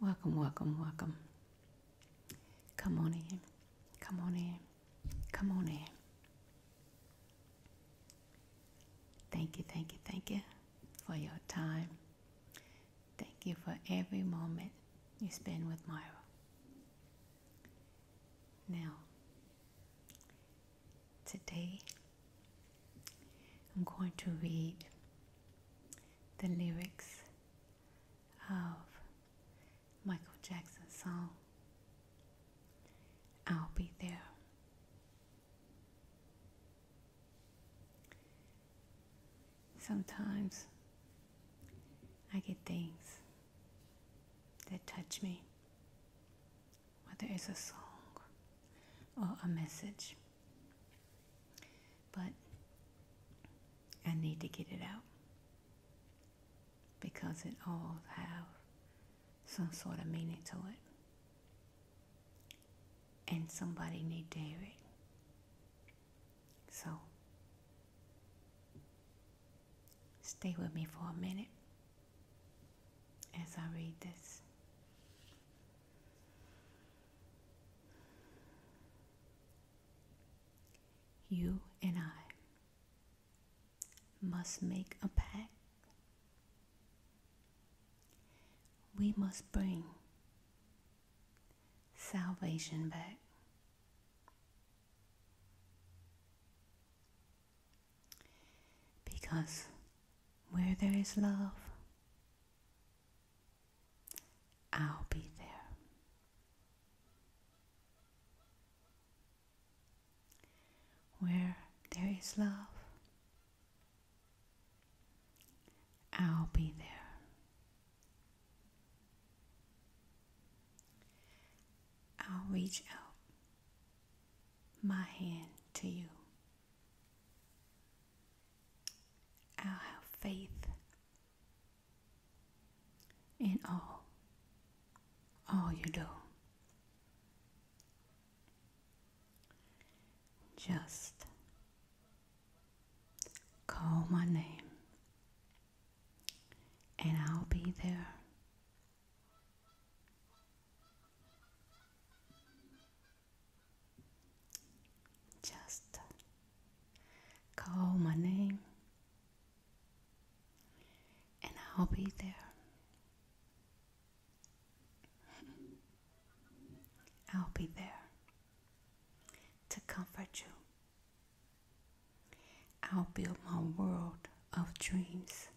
Welcome, welcome, welcome. Come on in. Come on in. Come on in. Thank you, thank you, thank you for your time. Thank you for every moment you spend with Myra. Now, today I'm going to read the lyrics of Michael Jackson's song, I'll Be There. Sometimes I get things that touch me, whether it's a song or a message. But I need to get it out because it all has some sort of meaning to it. And somebody needs to hear it. So stay with me for a minute as I read this. You and I must make a pact. We must bring salvation back. Because where there is love, I'll be there. Where there is love, I'll be there. I'll reach out my hand to you. I'll have faith in all, all you do. Just call my name and I'll be there just call my name, and I'll be there. I'll be there to comfort you. I'll build my world of dreams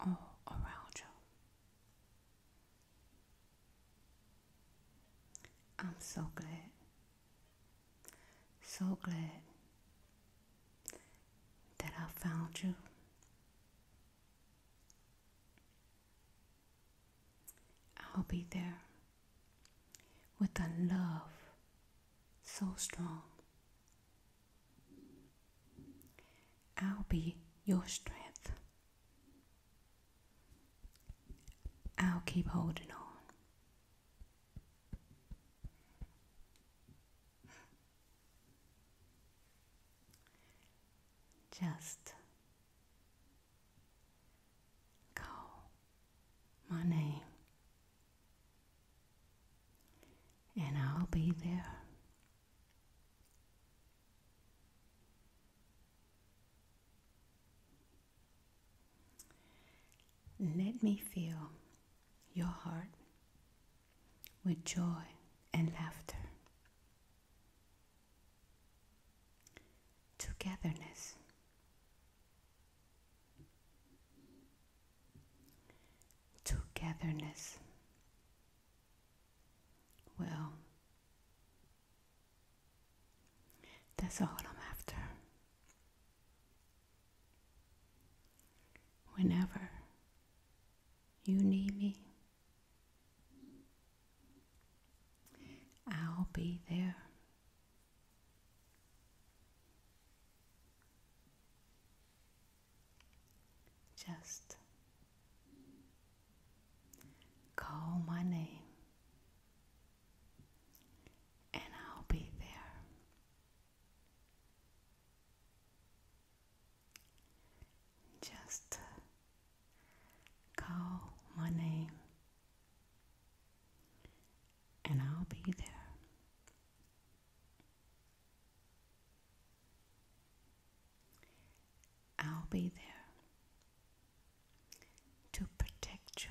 or around you. I'm so glad, so glad that I found you. I'll be there with a love so strong I'll be your strength. I'll keep holding on. Just call my name and I'll be there. Let me feel your heart with joy and laughter, togetherness, Togetherness. Well, that's all I'm after. Whenever you need me, I'll be there just call my name. And I'll be there. Just call my name, and I'll be there. I'll be there to protect you.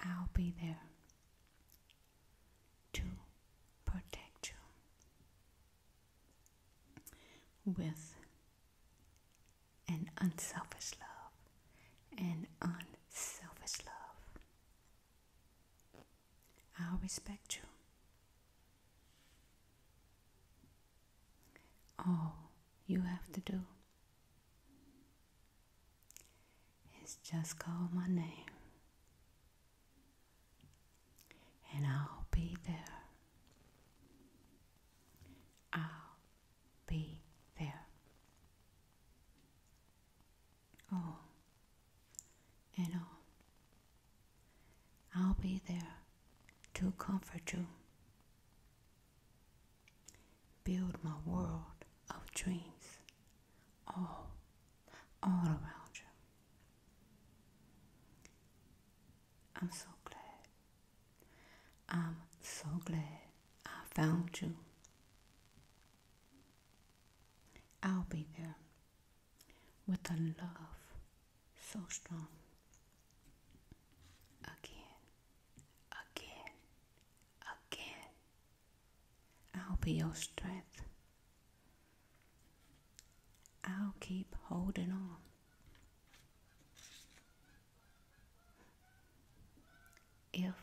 I'll be there to protect you with and unselfish love and unselfish love. I'll respect you. All you have to do is just call my name, and I'll be there. I'll be there. All oh, and all. Oh, I'll be there to comfort you. Build my world of dreams all, all around you. I'm so glad. I'm so glad I found you. I'll be there with a love so strong. Again, again, again. I'll be your strength. I'll keep holding on. If,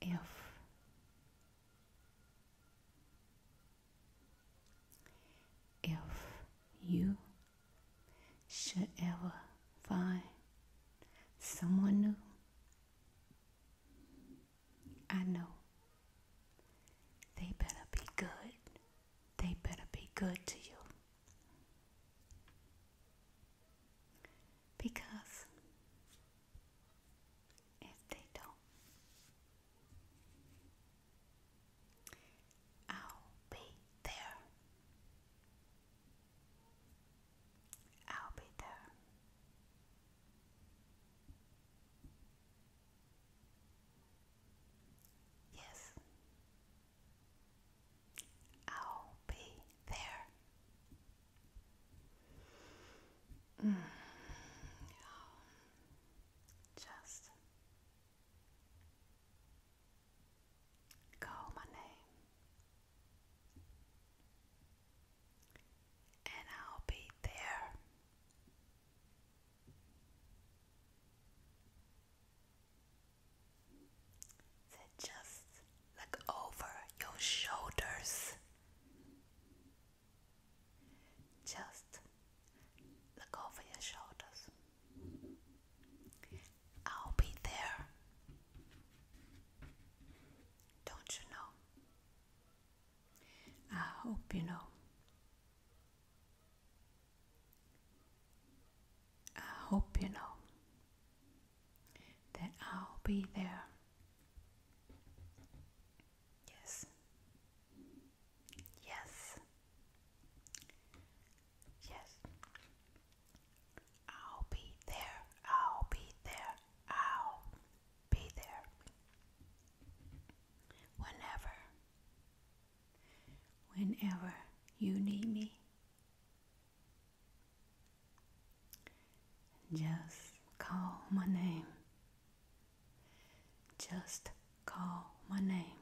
if if you should ever find someone new I know. They better be good. They better be good to you. Because if they don't, I'll be there. I'll be there. Yes, I'll be there. Mm. Just call my name and I'll be there. just look over your shoulders. Just look over your shoulders. I'll be there. Don't you know? I hope you know. I hope you know that I'll be there. Yes. Yes. Yes. I'll be there, I'll be there, I'll be there. Whenever, whenever you need me, just call my name. Just call my name.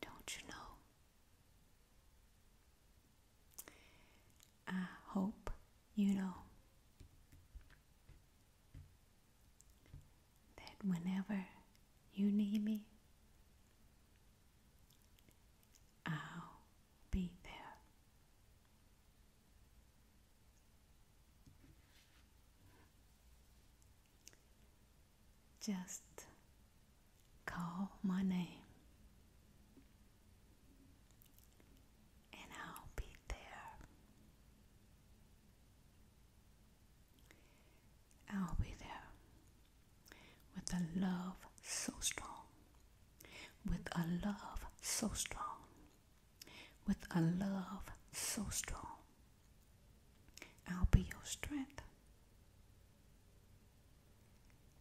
Don't you know I hope you know that whenever you need me, I'll be there. Just call my name, and I'll be there. I'll be there with a love so strong, with a love so strong, with a love so strong. I'll be your strength.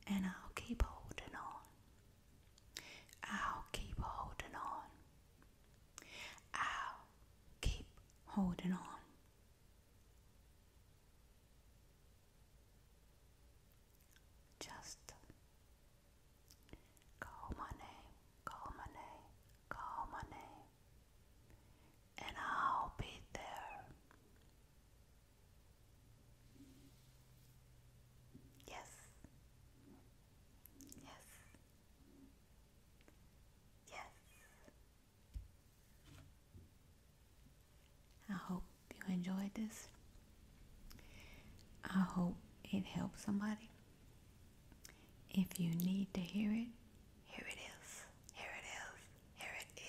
And I'll keep holding on. I'll keep holding on. I'll keep holding on. Just call my name, call my name, call my name and I'll be there. Yes, yes, yes. I hope you enjoyed this. I hope it helped somebody. If you need to hear it, here it is. Here it is. Here it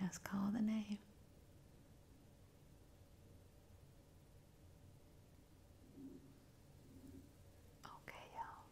is. Just call the name. Okay, y'all.